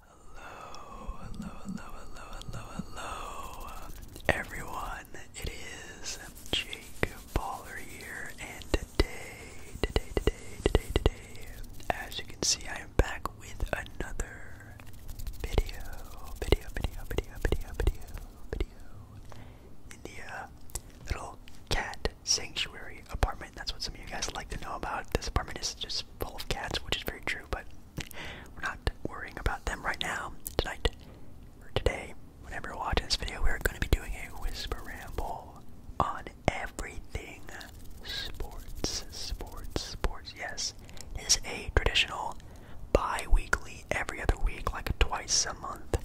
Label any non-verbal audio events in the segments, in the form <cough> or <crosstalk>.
Hello, hello, hello, hello, hello, hello, everyone. It is Jake Baller here, and today, today, today, today, today, as you can see, I am back with another video, video, video, video, video, video, video. In the uh, little cat sanctuary apartment, that's what some of you guys like to know about. This apartment is just full of cats, which is very true, but we're not worrying about them right now. Tonight, or today, whenever you're watching this video, we're going to be doing a whisper ramble on everything sports. Sports, sports, yes. It is a traditional bi weekly, every other week, like twice a month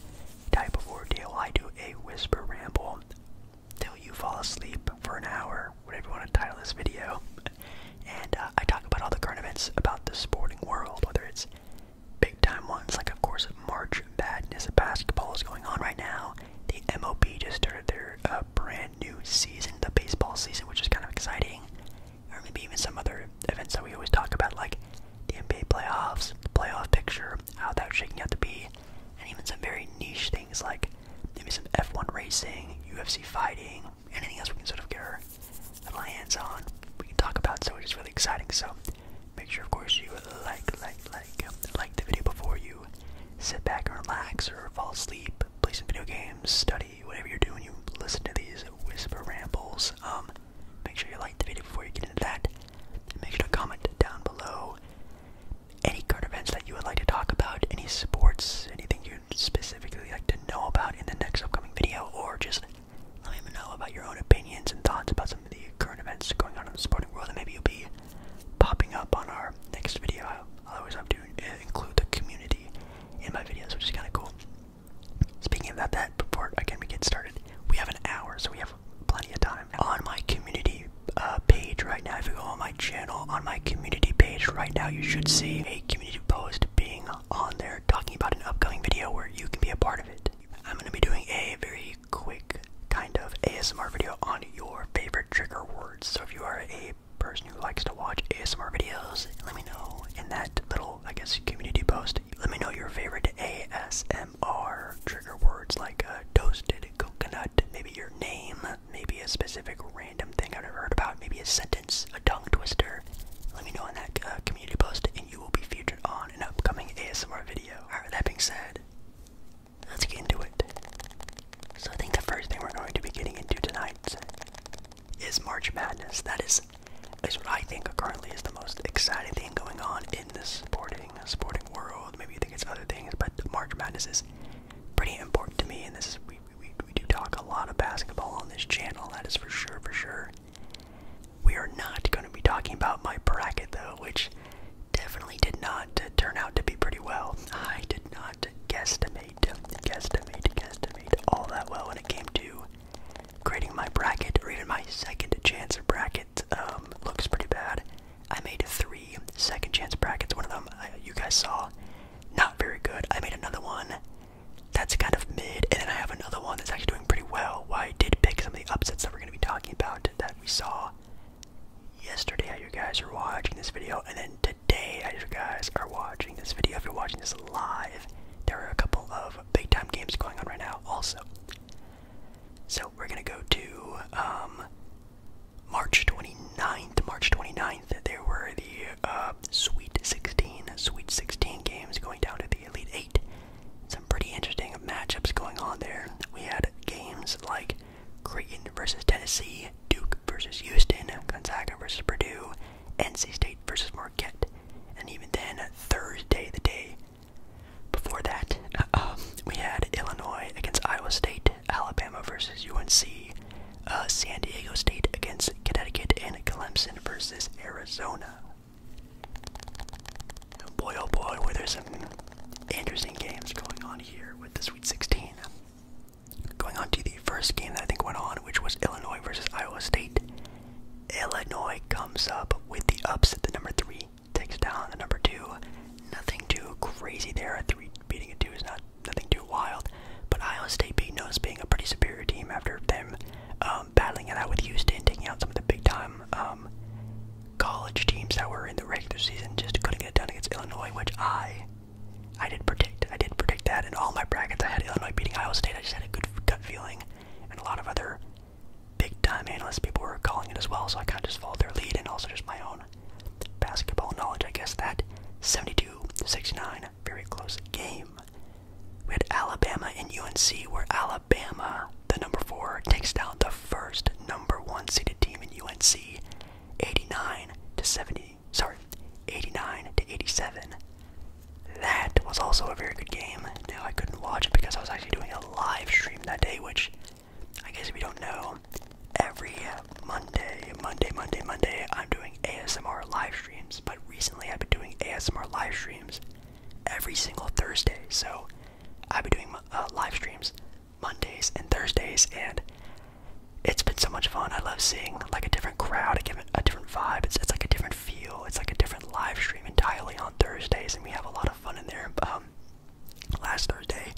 type of ordeal. I do a whisper ramble till you fall asleep for an hour, whatever you want to title this video. And uh, I talk about all the current events about the sporting world, whether it's big time ones like, of course, March Madness of basketball is going on right now. The MOB just started their uh, brand new season, the baseball season, which is kind of exciting. Or maybe even some other events that we always talk about, like the NBA playoffs, the playoff picture, how that's shaking out to be, and even some very niche things like maybe some F1 racing, UFC fighting, anything else we can sort of get our, our hands on, we can talk about. So it's just really exciting. So make sure, of course, you like, like, like, um, like the video before you sit back and relax or fall asleep, play some video games, study, whatever you're doing. You listen to these whisper rambles. Um, make sure you like the video before you get into that. make sure to comment down below any current events that you would like to talk about, any sports, anything you specifically like to know about in the next upcoming video, or just let me know about your own opinions and thoughts about some of the current events going on in the sporting world, and maybe you'll be popping up on our next video. I always have to include the community in my videos, which is kind of cool. Speaking about that, before again we get started, we have an hour, so we have plenty of time on my community. Uh, uh, page right now, if you go on my channel, on my community page right now, you should see a community post being on there talking about an upcoming video where you can be a part of it. I'm going to be doing a very quick kind of ASMR video on your favorite trigger words. So if you are a person who likes to watch ASMR videos, let me know in that little, I guess, community post. Let me know your favorite ASMR trigger words like uh, toasted coconut, maybe your name, maybe a specific random thing I've never heard about, maybe a sentence, a tongue twister. Let me know in that uh, community post, and you will be featured on an upcoming ASMR video. Alright, that being said, let's get into it. So, I think the first thing we're going to be getting into tonight is March Madness. That is, is what I think currently is the most exciting thing going on in this sporting, sporting world. Maybe you think it's other things, but March Madness is pretty important to me, and this is we, we do talk a lot of basketball on this channel, that is for sure, for sure. We are not going to be talking about my bracket, though, which definitely did not turn out to be pretty well. I did not guesstimate, guesstimate, guesstimate all that well when it came to creating my bracket or even my second chance bracket. Um, looks pretty bad. I made three second chance brackets. One of them uh, you guys saw not very good. I made another one that's kind of mid, and then I have another one that's actually doing pretty well. Why I did pick some of the upsets that we're going to be talking about that we saw yesterday. you guys are watching this video, and then today, how you guys are watching this video. If you're watching this live, there are a couple of big time games going on right now, also. So we're gonna go to um, March 29th, March 29th, there were the uh, Sweet 16, Sweet 16 games going down to the Elite 8. Some pretty interesting matchups going on there. We had games like Creighton versus Tennessee, Duke versus Houston, Gonzaga versus Purdue, NC State versus Marquette. And even then, Thursday, the day before that, uh, we had Illinois against Iowa State, Alabama versus UNC, uh, San Diego State against Connecticut, and Clemson versus Arizona. Boy, oh boy, where there's some interesting games going on here with the Sweet 16. Going on to the first game that I think went on, which was Illinois versus Iowa State. Illinois comes up with the upset, the number three takes down the number two. Nothing too crazy there. A three beating a two is not nothing too wild. But Iowa State beat us being a pretty superior team after them um, battling it out with Houston, taking out some of the big time um, college teams that were in the regular season, just couldn't get it done against Illinois, which I I did predict. I did predict that in all my brackets. I had Illinois beating Iowa State. I just had a good gut feeling, and a lot of other big time analysts people were calling it as well. So I kind of just followed their lead and also just my own Basketball knowledge, I guess that. 72-69, very close game. We had Alabama and UNC, where Alabama, the number four, takes out the first number one seeded team in UNC, 89 to 70. Sorry, 89 to 87. That was also a very good game. Now I couldn't watch it because I was actually doing a live stream that day, which I guess we don't know, every Monday, Monday, Monday, Monday, I'm doing ASMR live streams. But recently, I've been doing ASMR live streams every single Thursday. So I've been doing uh, live streams Mondays and Thursdays, and it's been so much fun. I love seeing like a different crowd, a different, a different vibe. It's, it's like a different feel. It's like a different live stream entirely on Thursdays, and we have a lot of fun in there. Um, last Thursday,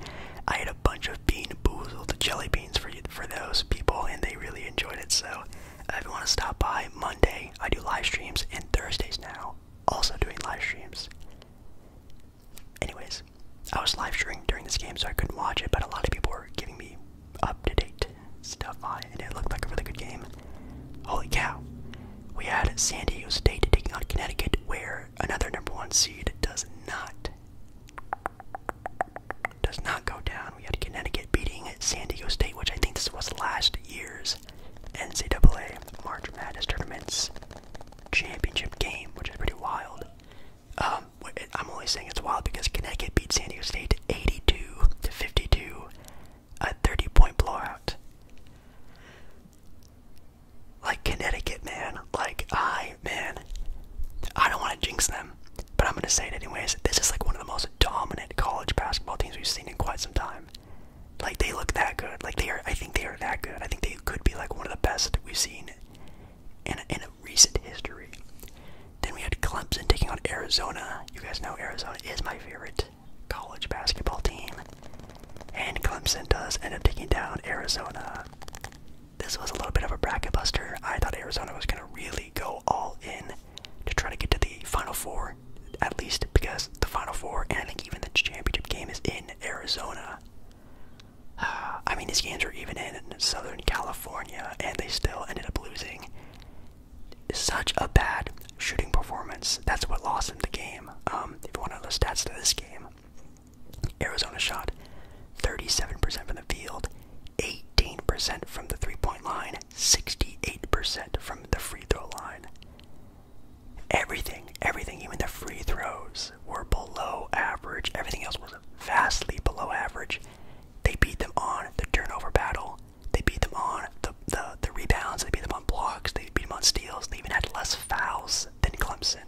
I ate a bunch of Bean Boozled jelly beans for you, for those people, and they really enjoyed it. So, uh, if you want to stop by Monday, I do live streams, and Thursdays now, also doing live streams. Anyways, I was live streaming during this game, so I couldn't watch it, but a lot of people were giving me up to date stuff on it, and it looked like a really good game. Holy cow! We had San Diego State taking on Connecticut, where another number one seed does not does not go down. We had Connecticut beating San Diego State, which I think this was last year's NCAA March Madness Tournament's championship game, which is pretty wild. Um, I'm only saying it's wild because Connecticut beat San Diego State 82 to 52, a 30 point blowout. Like Connecticut, man. Like, I I, man, I don't want to jinx them, but I'm going to say it anyways. This is like one of the most dominant college basketball teams we've seen in quite some time. Like, they look that good. Like, they are, I think they are that good. I think they could be like one of the best we've seen in, in recent history. Then we had Clemson taking on Arizona. You guys know Arizona is my favorite college basketball team. And Clemson does end up taking down Arizona this was a little bit of a bracket buster. I thought Arizona was going to really go all in to try to get to the Final Four, at least because the Final Four, and I think even the championship game, is in Arizona. <sighs> I mean, these games were even in Southern California, and they still ended up losing. Such a bad shooting performance. That's what lost them the game. Um, if you want to know stats to this game, Arizona shot 37% from the field, 18% from the three point line, 68% from the free throw line. Everything, everything, even the free throws were below average. Everything else was vastly below average. They beat them on the turnover battle. They beat them on the, the, the rebounds. They beat them on blocks. They beat them on steals. They even had less fouls than Clemson.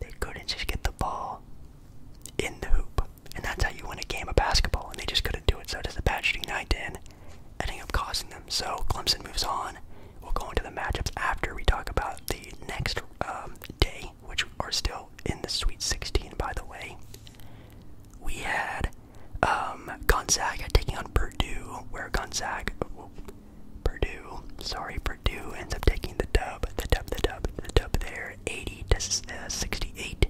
They couldn't just get the ball in the hoop. And that's how you win a game of basketball. And they just couldn't do it. So does the bad shooting night in, ending up causing them. So Clemson moves on. We'll go into the matchups after we talk about the next um, day, which are still in the Sweet 16, by the way. We had um, Gonzaga taking on Purdue, where Gonzaga, Purdue, sorry, Purdue ends up taking the dub, the dub, the dub, the dub there. 80 to uh, 68.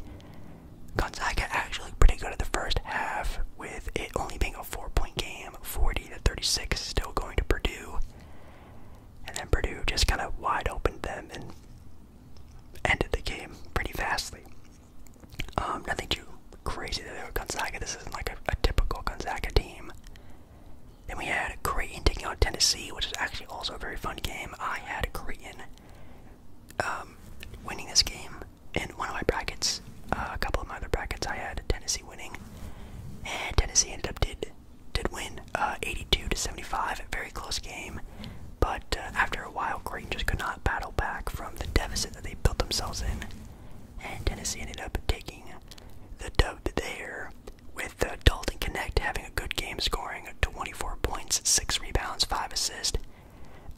Gonzaga actually pretty good at the first half, with it only being a four-point game, 40 to 36, still going to Purdue. And then Purdue just kind of wide opened them and ended the game pretty vastly. Um, nothing too crazy there, Gonzaga. This isn't like a typical Gonzaga team. Then we had Creighton taking out Tennessee, which is actually also a very fun game. I had Creighton um, winning this game in one of my brackets. Uh, a couple of my other brackets, I had Tennessee winning, and Tennessee ended up did did win uh, 82 to 75. A very close game, but uh, after a while, Creighton just could not battle back from the deficit that they built themselves in, and Tennessee ended up taking the dub there with uh, Dalton Connect having a good game, scoring 24 points, 6 rebounds, 5 assists.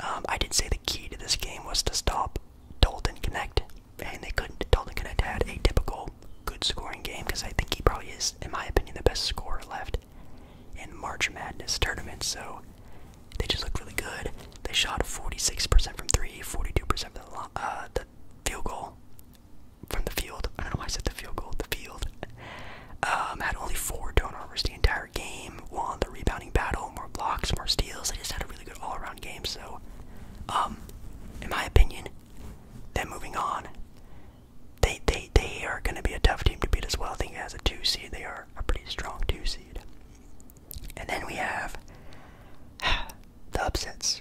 Um, I did say the key to this game was to stop Dalton Connect, and they couldn't. Dalton Connect had a typical good scoring game because I think he probably is, in my opinion, the best scorer left in March Madness tournament. So they just looked really good. They shot 46% from three, 42% from the, uh, the field goal, from the field. I don't know why I said the field goal. The field um, had only four turnovers the entire game. Won the rebounding battle, more blocks, more steals. They just had a really good all-around game. So, um, in my opinion, then moving on, they they they are going to be a tough team to beat as well. I think as a two seed, they are a pretty strong two seed. And then we have <sighs> the upsets.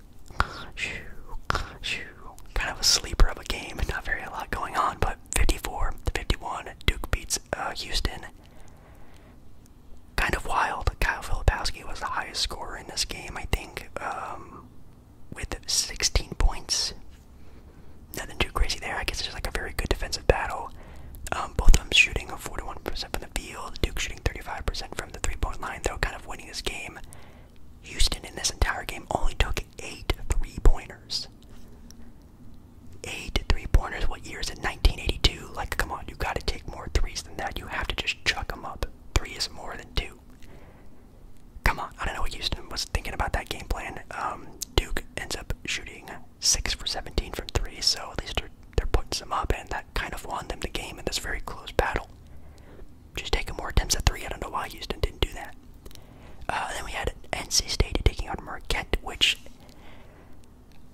Kind of a sleeper of a game, not very a lot going on, but 54 to 51, Duke beats uh, Houston. Kind of wild. Kyle Filipowski was the highest scorer in this game, I think, um, with 16 points. Nothing too crazy there. I guess it's like a very good defensive battle. Um, both of them shooting 41% from the field. Duke shooting 35% from the three-point line, though, kind of winning this game. Houston in this entire game only took eight three pointers. Eight three pointers. What year is it? 1982. Like, come on, you got to take more threes than that. You have to just chuck them up. Three is more than two. Come on, I don't know what Houston was thinking about that game plan. Um, Duke ends up shooting six for 17 from three, so at least they're, they're putting some up, and that kind of won them the game in this very close battle just taking more attempts at three. I don't know why Houston didn't do that. Uh, then we had NC State taking on Marquette, which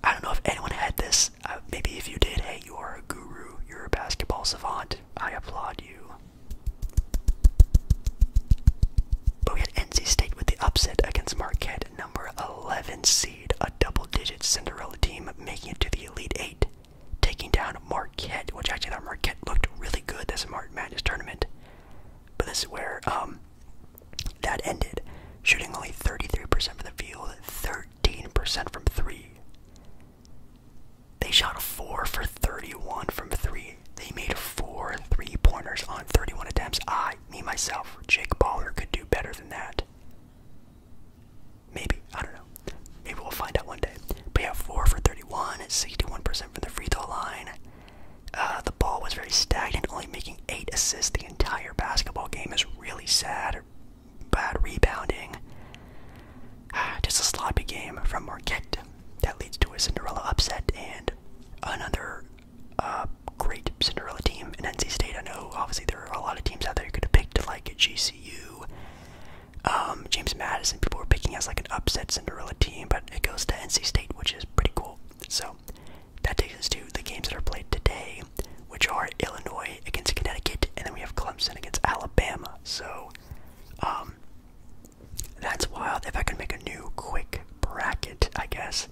I don't know if anyone had this. Uh, maybe if you did, hey, you are a guru. You're a basketball savant. I applaud you. But we had NC State with the upset against Marquette, number 11 seed, a double-digit Cinderella team making it to the Elite Eight taking down Marquette, which actually thought Marquette looked really good this Madness tournament. But this is where um, that ended, shooting only 33% from the field, 13% from three. They shot four for 31 from three. They made four three pointers on 31 attempts. I, me, myself, Jake Baller could do better than that. Maybe. I don't know. Maybe we'll find out one day. But yeah, 4 for 31, 61% from the free throw line. Uh, the ball was very stagnant, only making 8 assists the entire basketball game is really sad. Bad rebounding. <sighs> Just a sloppy game from Marquette that leads to a Cinderella upset and another uh, great Cinderella team in NC State. I know, obviously, there are a lot of teams out there you could have picked, like GCU, um, James Madison. People were picking us like an upset Cinderella team, but it goes to NC State, which is pretty cool. So that takes us to the games that are played today, which are Illinois against Connecticut, and then we have Clemson against Alabama. So um, that's wild. If I can make a new quick bracket, I guess.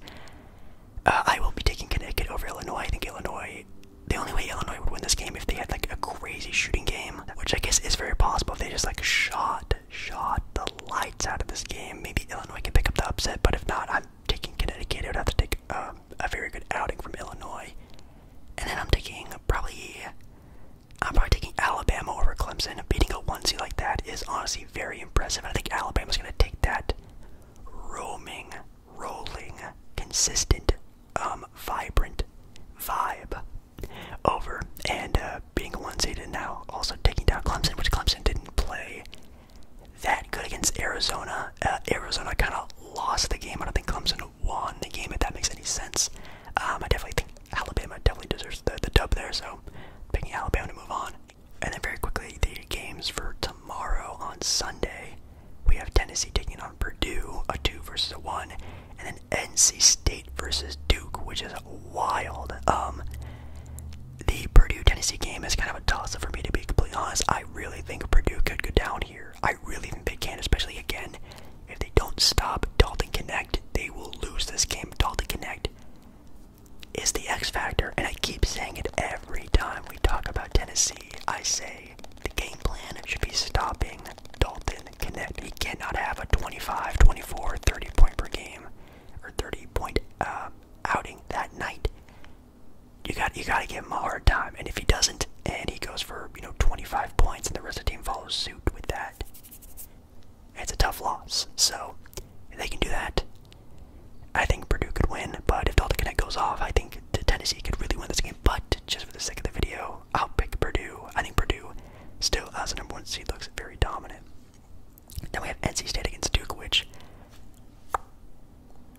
Uh, I will be taking Connecticut over Illinois. I think Illinois the only way Illinois would win this game if they had like a crazy shooting game, which I guess is very possible if they just like shot, shot the lights out of this game. Maybe Illinois could pick up the upset, but if not, I'm taking Connecticut. I would have to take um, a very good outing from Illinois, and then I'm taking probably, I'm probably taking Alabama over Clemson. Beating a one seed like that is honestly very impressive. I think Alabama's gonna take that roaming, rolling, consistent um, vibrant vibe over and uh, being a one seed and now also taking down Clemson, which Clemson didn't play that good against Arizona. Uh, Arizona kind of lost the game. I don't think Clemson won the game, if that makes any sense. Um, I definitely think Alabama definitely deserves the, the dub there, so picking Alabama to move on. And then very quickly, the games for tomorrow on Sunday. We have Tennessee taking on Purdue, a two versus a one, and then NC State versus Duke, which is wild. Um, the Purdue Tennessee game is kind of a toss up for me to be completely honest. I really think Purdue could go down here. I really think they can, especially again, if they don't stop Dalton Connect, they will lose this game. Dalton Connect is the X factor, and I keep saying it every time we talk about Tennessee. I say the game plan should be stopping Dalton Connect. He cannot have a 25, 24, 30 point per game or 30 point uh, outing that night. You got you got to give him a hard time, and if he doesn't, and he goes for you know 25 points, and the rest of the team follows suit with that, it's a tough loss. So if they can do that. I think Purdue could win, but if Dalton Connect goes off, I think Tennessee could really win this game. But just for the sake of the video, I'll pick Purdue. I think Purdue, still as a number one seed, looks very dominant. Then we have NC State against Duke, which,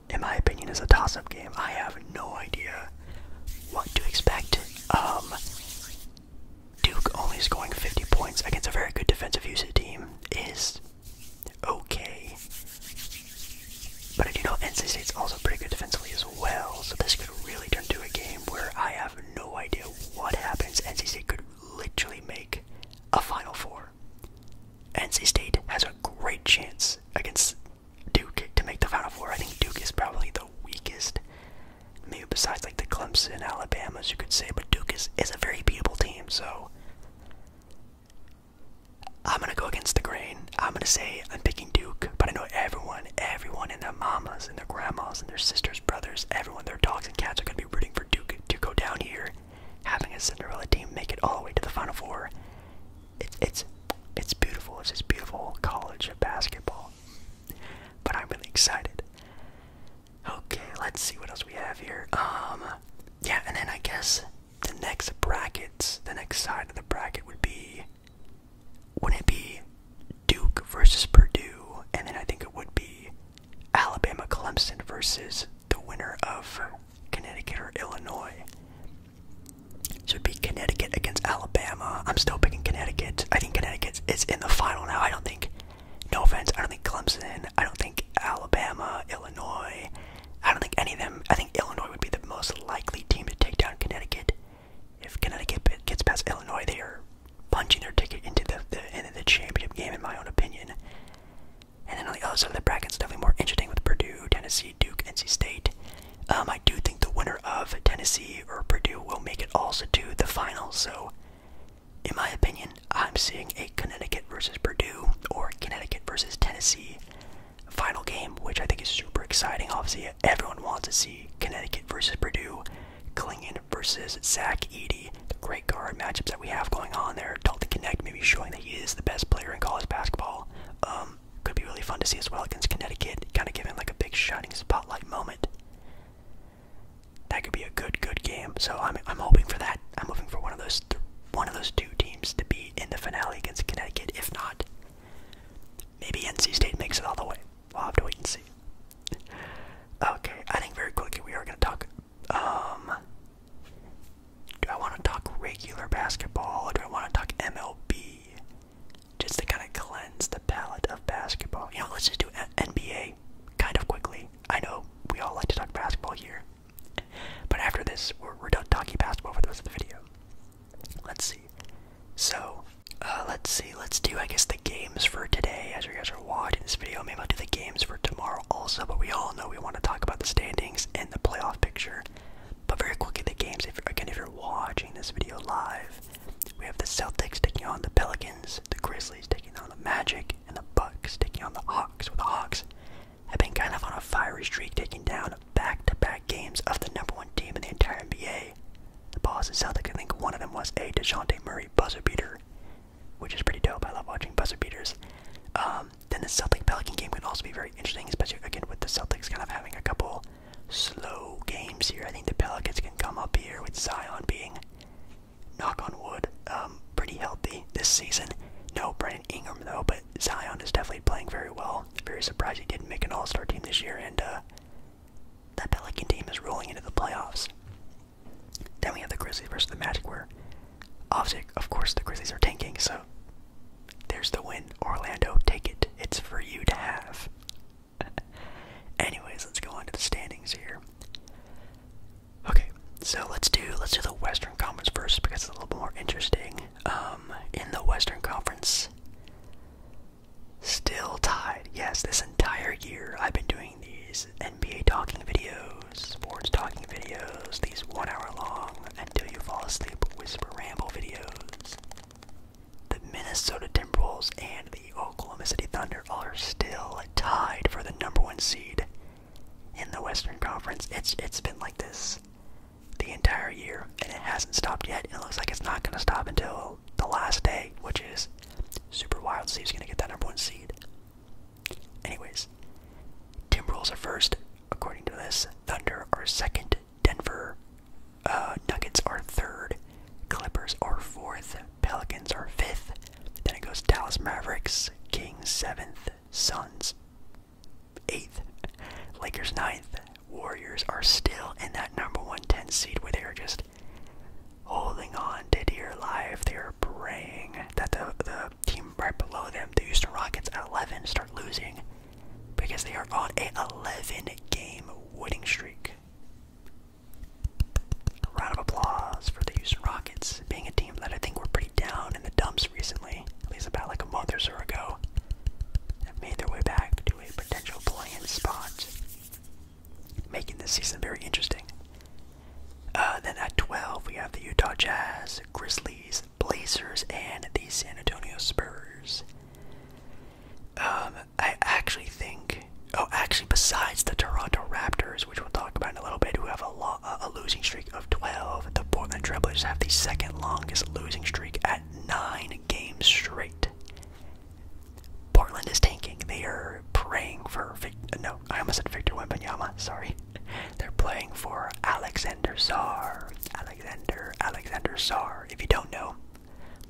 in my opinion, is a toss-up game. I have no idea what to expect. Um, Duke only scoring 50 points against a very good defensive usage team is okay. But I do know NC State's also pretty good defensively as well, so this could really turn into a game where I have no idea what happens. NC State could literally make a Final Four. NC State has a great chance against Duke to make the Final Four. I think Duke is probably the weakest, maybe besides like the Clemson, Alabama's, you could say, but Duke is, is a very beatable team, so. I'm gonna go against the grain. I'm gonna say I'm picking Duke, but I know everyone, everyone, and their mamas and their grandmas and their sisters, brothers, everyone, their dogs and cats are gonna be rooting for Duke to go down here, having a Cinderella team make it all the way to the Final Four. It's it's it's beautiful. It's this beautiful college of basketball. But I'm really excited. Okay, let's see what else we have here. Um, yeah, and then I guess the next brackets, the next side of the bracket would be wouldn't it be Duke versus Purdue? And then I think it would be Alabama Clemson versus the winner of Connecticut or Illinois. So it'd be Connecticut against Alabama. I'm still picking Connecticut. I think Connecticut is in the final now. I don't think, no offense, I don't think Clemson, I don't think Alabama, Illinois, I don't think any of them. I think Illinois would be the most likely team to take down Connecticut if Connecticut gets past Illinois, they are punching their ticket into the, end of the championship game, in my own opinion. And then on the other side of the bracket, it's definitely more interesting with Purdue, Tennessee, Duke, NC State. Um, I do think the winner of Tennessee or Purdue will make it also to the final. So, in my opinion, I'm seeing a Connecticut versus Purdue or Connecticut versus Tennessee final game, which I think is super exciting. Obviously, everyone wants to see Connecticut versus Purdue, Klingon versus Zach Eady. The great guard matchups that we have going on there. Dalton Connect maybe showing that he is the best player in college basketball. Um, could be really fun to see as well against Connecticut, kind of giving like a big shining spotlight moment. That could be a good, good game. So I'm, I'm hoping for that. I'm hoping for one of those, one of those two teams to be in the finale against Connecticut. If not, Maybe NC State makes it all the way. We'll have to wait and see. Okay, I think very quickly we are going to talk. Um, do I want to talk regular basketball or do I want to talk MLB? Just to kind of cleanse the palate of basketball. You know, let's just do NBA kind of quickly. I know we all like to talk basketball here, but after this, we're, we're done talking basketball for the rest of the video. Let's see. So, uh, let's see. Let's do, I guess, the games for today. As you guys are watching this video, maybe I'll do the games for tomorrow also. But we all know we want to talk about the standings and the playoff picture. But very quickly, the games. If again, if you're watching this video live, we have the Celtics taking on the Pelicans, the Grizzlies taking on the Magic, and the Bucks taking on the Hawks. With the Hawks have been kind of on a fiery streak, taking down back to -back games of the number one team in the entire NBA. The pauses sound I think one of them was a DeJounte Murray buzzer beater, which is pretty dope. I love watching buzzer beaters. Um, then the Celtic Pelican game could also be very interesting, especially again with the Celtics kind of having a couple slow games here. I think the Pelicans can come up here with Zion being, knock on wood, um, pretty healthy this season. No Brandon Ingram though, but Zion is definitely playing very well. Very surprised he didn't make an All Star team this year, and uh, that Pelican team is rolling into the playoffs. Then we have the Grizzlies versus the Magic, where obviously, of course, the Grizzlies are tanking, so there's the win. Orlando, take it. It's for you to have. <laughs> Anyways, let's go on to the standings here. Okay, so let's do let's do the Western Conference first because it's a little more interesting. Um, in the Western Conference, Still tied. Yes, this entire year I've been doing these NBA talking videos, sports talking videos, these one hour long until you fall asleep whisper ramble videos. The Minnesota Timberwolves and the Oklahoma City Thunder are still tied for the number one seed in the Western Conference. It's it's been like this the entire year, and it hasn't stopped yet. It looks like it's not going to stop until the last day, which is super wild to see who's going to get that number one seed. Anyways, Timberwolves are first, according to this. Thunder are second. Denver uh, Nuggets are third. Clippers are fourth. Pelicans are fifth. Then it goes Dallas Mavericks, Kings seventh, Suns eighth, Lakers ninth, Warriors are still in that number one ten seed where they are just holding on to dear life. They are praying that the the team right below them, the Houston Rockets at eleven, start losing because they are on a eleven game winning streak. round of applause for the Houston Rockets, being a team that I think were pretty down in the dumps recently, at least about like a month or so ago. made their way back a potential play-in spot, making this season very interesting. Uh, then at 12, we have the Utah Jazz, Grizzlies, Blazers, and the San Antonio Spurs. Um, I actually think, oh, actually, besides the Toronto Raptors, which we'll talk about in a little bit, who have a, a losing streak of 12, the Portland Trailblazers have the second longest losing streak at nine games straight. Portland is tanking. They are praying for no, I almost said Victor Wembanyama. Sorry, <laughs> they're playing for Alexander Czar. Alexander Alexander Czar. If you don't know,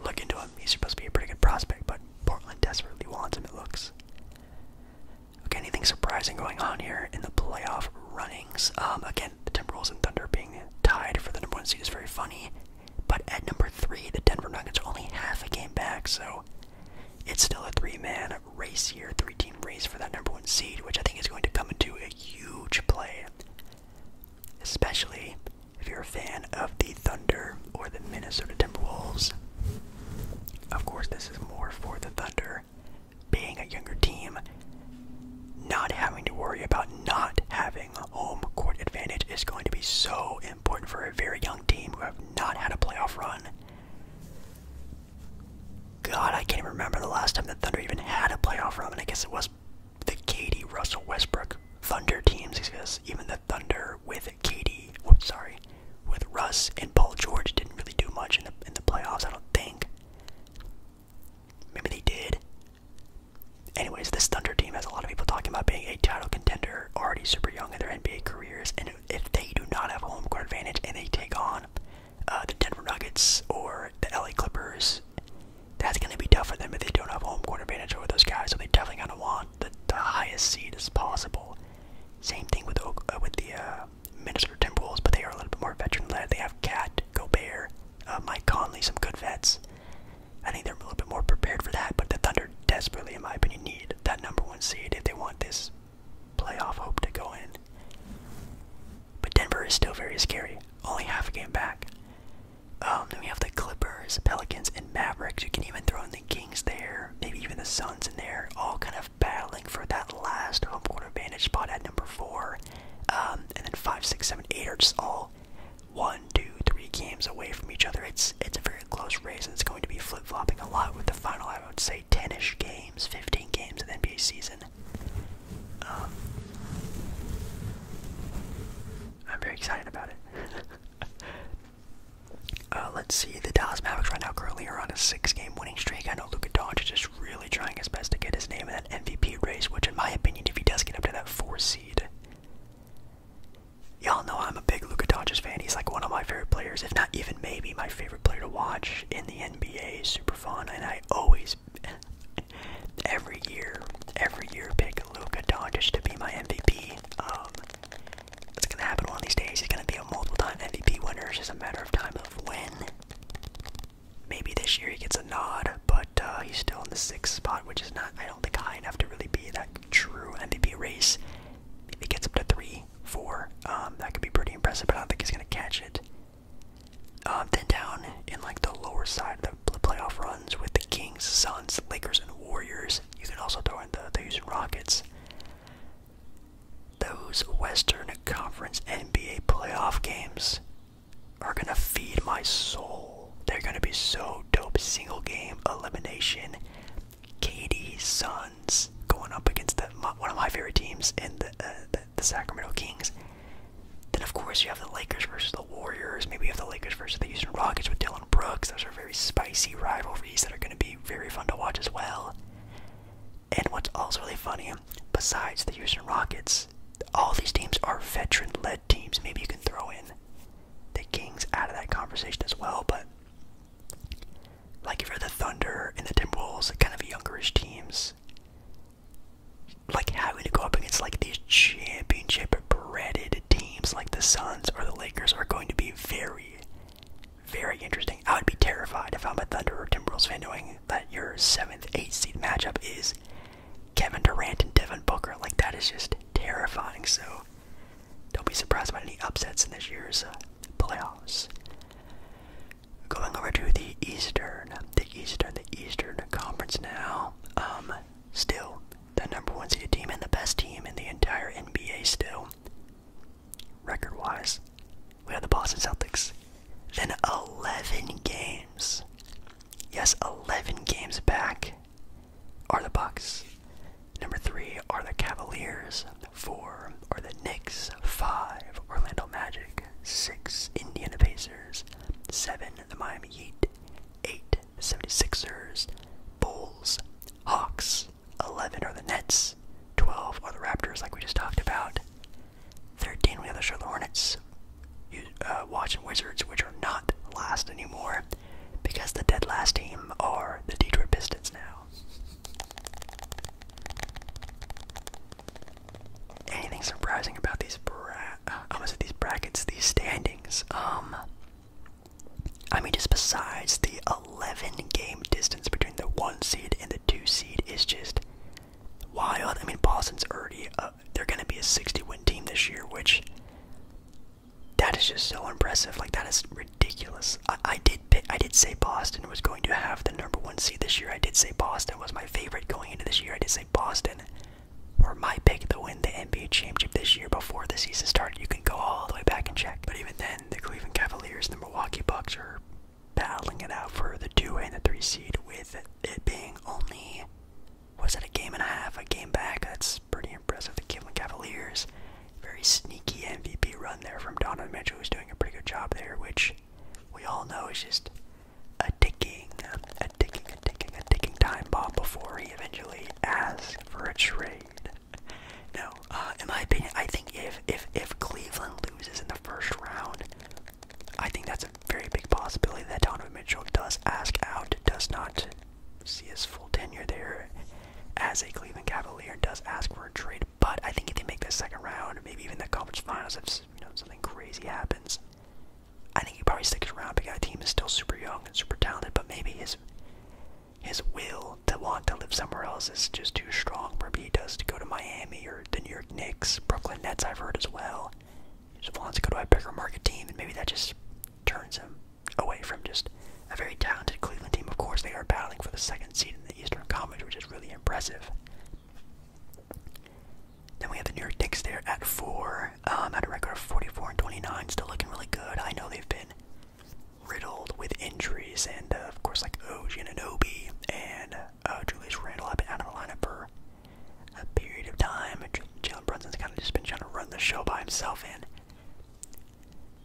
look into him. He's supposed to be a pretty good prospect, but Portland desperately wants him. It looks. Okay, anything surprising going on here in the playoff runnings? Um, again, the Timberwolves and Thunder being tied for the number one seed is very funny. But at number three, the Denver Nuggets are only half a game back, so it's still a three-man race here, three-team race for that number one seed, which I think is going to come into a huge play, especially if you're a fan of the Thunder or the Minnesota Timberwolves. Of course, this is more for the Thunder being a younger team, not having to worry about not having home court advantage is going to be so important for a very young team who have not had a playoff run. God, I can't even remember the last time the Thunder even had a playoff run, and I guess it was the Katie Russell Westbrook Thunder teams, because even the Thunder with Katie, whoops, sorry, with Russ and Paul George didn't really do much in the in the playoffs. I don't think. Maybe they did. Anyways, this Thunder team has a lot of people talking about being a title contender, already super young in their NBA careers, and if they do not have home court advantage and they take on uh, the Denver Nuggets or the LA Clippers, that's going to be tough for them if they don't have home court advantage over those guys. So they're definitely going to want the, the highest seed as possible. Same thing with uh, with the uh, Minnesota Timberwolves, but they are a little bit more veteran led. They have Cat, Gobert, uh, Mike Conley, some good vets. I think they're a little bit more prepared for that, but the Thunder desperately, in my opinion, need that number one seed if they want this playoff hope to go in. But Denver is still very scary, only half a game back. Um, then we have the Clippers, Pelicans, and Mavericks. You can even throw in the Kings there, maybe even the Suns in there, all kind of battling for that last home court advantage spot at number four. Um, and then five, six, seven, eight are just all one, two, three games away from each other. It's it's a very close race, and it's going to be flip flopping a lot with the final. I would say ten-ish games, fifteen games of the NBA season. Um, I'm very excited about it. <laughs> Uh, let's see. The Dallas Mavericks right now currently are on a six-game winning streak. I know Luka Doncic is just really trying his best to get his name in that MVP race, which, in my opinion, if he does get up to that four seed, Y'all know I'm a big Luka Doncic fan. He's like one of my favorite players, if not even maybe my favorite player to watch in the NBA. Super fun, and I always, <laughs> every year, every year, pick Luka Doncic to be my MVP. Um, it's gonna happen one of these days. He's gonna be a multiple-time MVP winner. It's just a matter of time of when. Maybe this year he gets a nod, but uh, he's still in the sixth spot, which is not. I think high enough to really be that true MVP race. If he gets up to three, four, um, that could be pretty impressive, but I don't think he's gonna catch it. Um, then down in like the lower side of the playoff runs with the Kings, Suns, Lakers, and Warriors. You can also throw in the, the Rockets. Those Western Conference NBA playoff games are gonna feed my soul. They're gonna be so dope. Single game elimination. KD sons going up against one of my favorite teams in the, uh, the the Sacramento Kings. Then of course you have the Lakers versus the Warriors. Maybe you have the Lakers versus the Houston Rockets with Dylan Brooks. Those are very spicy rivalries that are gonna be very fun to watch as well. And what's also really funny, besides the Houston Rockets, all these teams are veteran-led teams. Maybe you can throw in the Kings out of that conversation as well. But like if you're the Thunder and the Timberwolves, kind of youngerish teams, like having to go up against like these championship bred teams like the Suns or the Lakers are going to be very, very interesting. I would be terrified if I'm a Thunder or Timberwolves fan knowing that your seventh, eighth seed matchup is Kevin Durant and Devin Booker. Like that is just terrifying. So don't be surprised by any upsets in this year's uh, playoffs. Going over to the Eastern, the Eastern, the Eastern Conference now. Um, still the number one seeded team and the best team in the entire NBA. Still, record-wise, we have the Boston Celtics. Then eleven games Yes, 11 games back are the Bucks. Number 3 are the Cavaliers. 4 are the Knicks. 5 Orlando Magic. 6 Indiana Pacers. 7 the Miami Heat. 8 the 76ers. Bulls. Hawks. 11 are the Nets. 12 are the Raptors, like we just talked about. 13 we have the Charlotte Hornets uh, Washington Wizards, which are not last anymore, because the dead last team are the Detroit Pistons now. Anything surprising about these bra uh, these brackets, these standings? Um, I mean, just besides the 11 game distance between the one seed and the two seed is just wild. I mean, Boston's already uh, they're going to be a 60 win team this year, which that is just so impressive. Like that is ridiculous. I, did I did say Boston was going to have the number one seed this year. I did say Boston was my favorite going into this year. I did say Boston were my pick to win the NBA championship this year before the season started. You can go all the way back and check. But even then, the Cleveland Cavaliers and the Milwaukee Bucks are battling it out for the two and the three seed with it being only was it a game and a half, a game back? That's pretty impressive. The Cleveland Cavaliers, very sneaky MVP run there from Donovan Mitchell, who's doing a pretty good job there, which we all know is just a ticking, a ticking, a ticking, a ticking time bomb before he eventually asks for a trade. <laughs> Now, uh, in my opinion, I think if if if Cleveland loses in the first round, I think that's a very big possibility that Donovan Mitchell does ask out, does not see his full tenure there as a Cleveland Cavalier does ask for a trade. But I think if they make the second round, maybe even the conference finals, if you know something crazy happens, I think he probably sticks around because the team is still super young and super talented. But maybe his his will to want to live somewhere else is just too strong. Maybe he does to go to Miami or the New York Knicks, Brooklyn Nets. I've heard as well. He just wants to go to a bigger market team, and maybe that just turns him away from just a very talented Cleveland team. Of course, they are battling for the second seed in the Eastern Conference, which is really impressive. Then we have the New York Knicks there at four, um, at a record of 44 and 29, still looking really good. I know they've been riddled with injuries, and uh, of course, like OG and Anobi and uh, Julius Randle have been out of the lineup for a period of time. Jalen Brunson's kind of just been trying to run the show by himself, and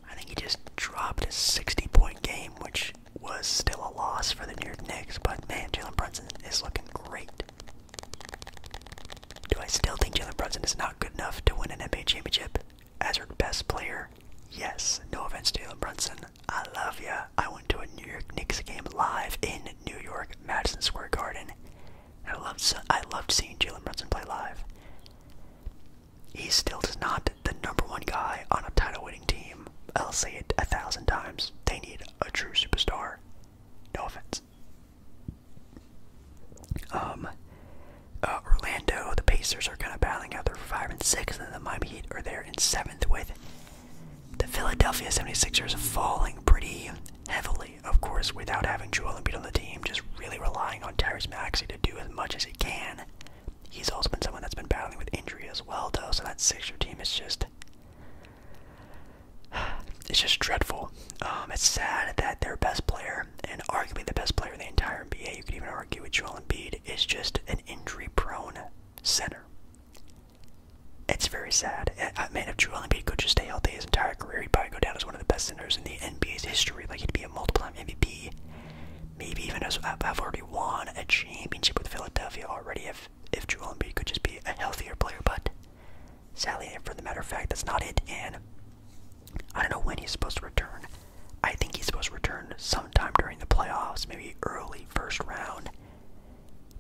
I think he just dropped a 60 point game, which was still a loss for the New York Knicks. But man, Jalen Brunson is looking great. Do I still think Jalen Brunson is not good enough to win an NBA championship as her best player? Yes. No offense, Jalen Brunson. I love ya. I went to a New York Knicks game live in New York, Madison Square Garden, I loved, I loved seeing Jalen Brunson play live. He still is not the number one guy on a title winning team. I'll say it a thousand times. They need a true superstar. No offense. Um, uh, Orlando, the Pacers are kind of battling out. They're five and six, and the Miami Heat are there in seventh with the Philadelphia 76ers falling pretty heavily, of course, without having Joel Embiid on the team, just really relying on Tyrese Maxey to do as much as he can. He's also been someone that's been battling with injury as well, though, so that Sixer team is just. <sighs> It's just dreadful. Um, it's sad that their best player, and arguably the best player in the entire NBA, you could even argue with Joel Embiid, is just an injury prone center. It's very sad. I mean, if Joel Embiid could just stay healthy his entire career, he'd probably go down as one of the best in the NBA's history. Like he'd be a multiple-time MVP, maybe even as I've already won a championship with Philadelphia already. If if Joel Embiid could just be a healthier player, but sadly, for the matter of fact, that's not it. And I don't know when he's supposed to return. I think he's supposed to return sometime during the playoffs, maybe early first round.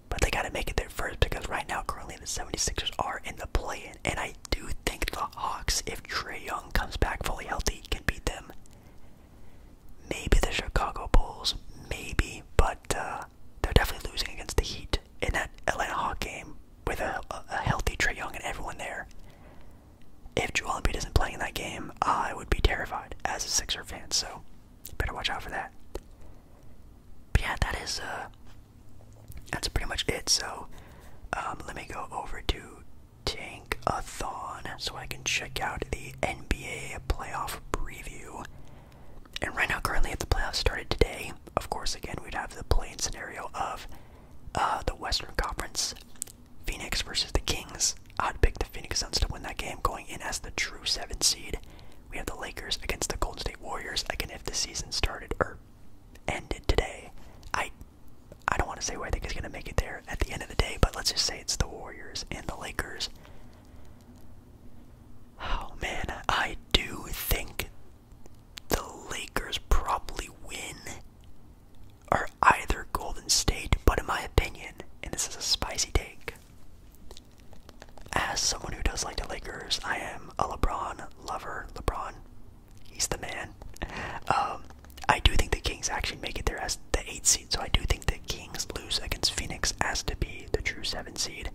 But they gotta make it there first because right now, currently currently the 76ers are in the play in. And I do think the Hawks, if Trey Young comes back fully healthy, can beat them. Maybe the Chicago Bulls, maybe, but uh, they're definitely losing against the Heat in that Atlanta Hawk game with a, healthy Trey Young and everyone there. If Joel Embiid isn't playing in that game, I would be terrified as a Sixer fan, so better watch out for that. But yeah, that is uh, that's pretty much it. So um, let me go over to Tankathon so I can check out the NBA playoff preview. And right now, currently, if the playoffs started today, of course, again, we'd have the plain scenario of uh, the Western Conference, Phoenix versus the Kings. I'd pick the Phoenix Suns to win that game, going in as the true seven seed. We have the Lakers against the Golden State Warriors. Again, if the season started, or ended today. I I don't want to say where I think is going to make it there at the end of the day, but let's just say it's the Warriors and the Lakers. Oh man, I do think the Lakers probably win or either Golden State, but in my opinion, and this is a spicy take, as someone who does like the Lakers, I am a LeBron lover. LeBron He's the man. Um, I do think the Kings actually make it there as the eight seed, so I do think the Kings lose against Phoenix as to be the true seven seed,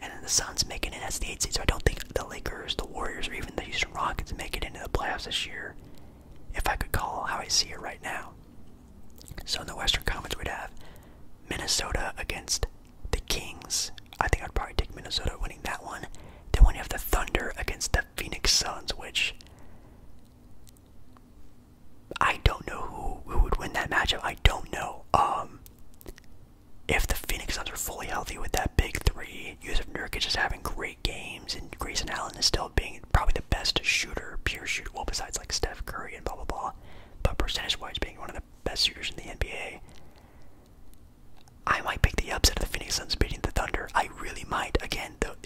and then the Suns making it as the eight seed. So I don't think the Lakers, the Warriors, or even the Houston Rockets make it into the playoffs this year. If I could call how I see it right now, so in the Western Conference we'd have Minnesota against the Kings. I think I'd probably take Minnesota winning that one. Then when you have the Thunder against the Phoenix Suns, which I don't know who, who would win that matchup. I don't know. Um, if the Phoenix Suns are fully healthy with that big three, Yusuf Nurkic is having great games, and Grayson Allen is still being probably the best shooter, pure shooter, well, besides like Steph Curry and blah blah blah, but percentage-wise being one of the best shooters in the NBA. I might pick the upset of the Phoenix Suns beating the Thunder. I really might. Again, the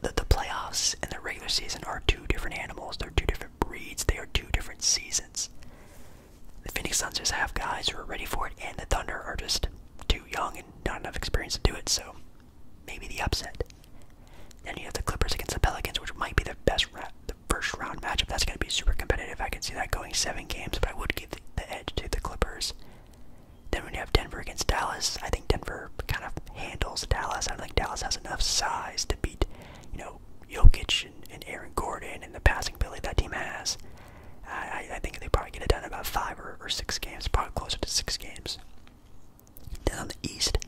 the, the playoffs and the regular season are two different animals. They're two different breeds. They are two different seasons. The Phoenix Suns just have guys who are ready for it, and the Thunder are just too young and not enough experience to do it. So maybe the upset. Then you have the Clippers against the Pelicans, which might be the best, the first round matchup. That's going to be super competitive. I can see that going seven games, but I would give the, the edge to the Clippers. Then when you have Denver against Dallas, I think Denver kind of handles Dallas. I don't think Dallas has enough size to beat, you know, Jokic and, and Aaron Gordon and the passing ability that team has. I, I think they probably get it done in about five or, or six games, probably closer to six games. Then on the East,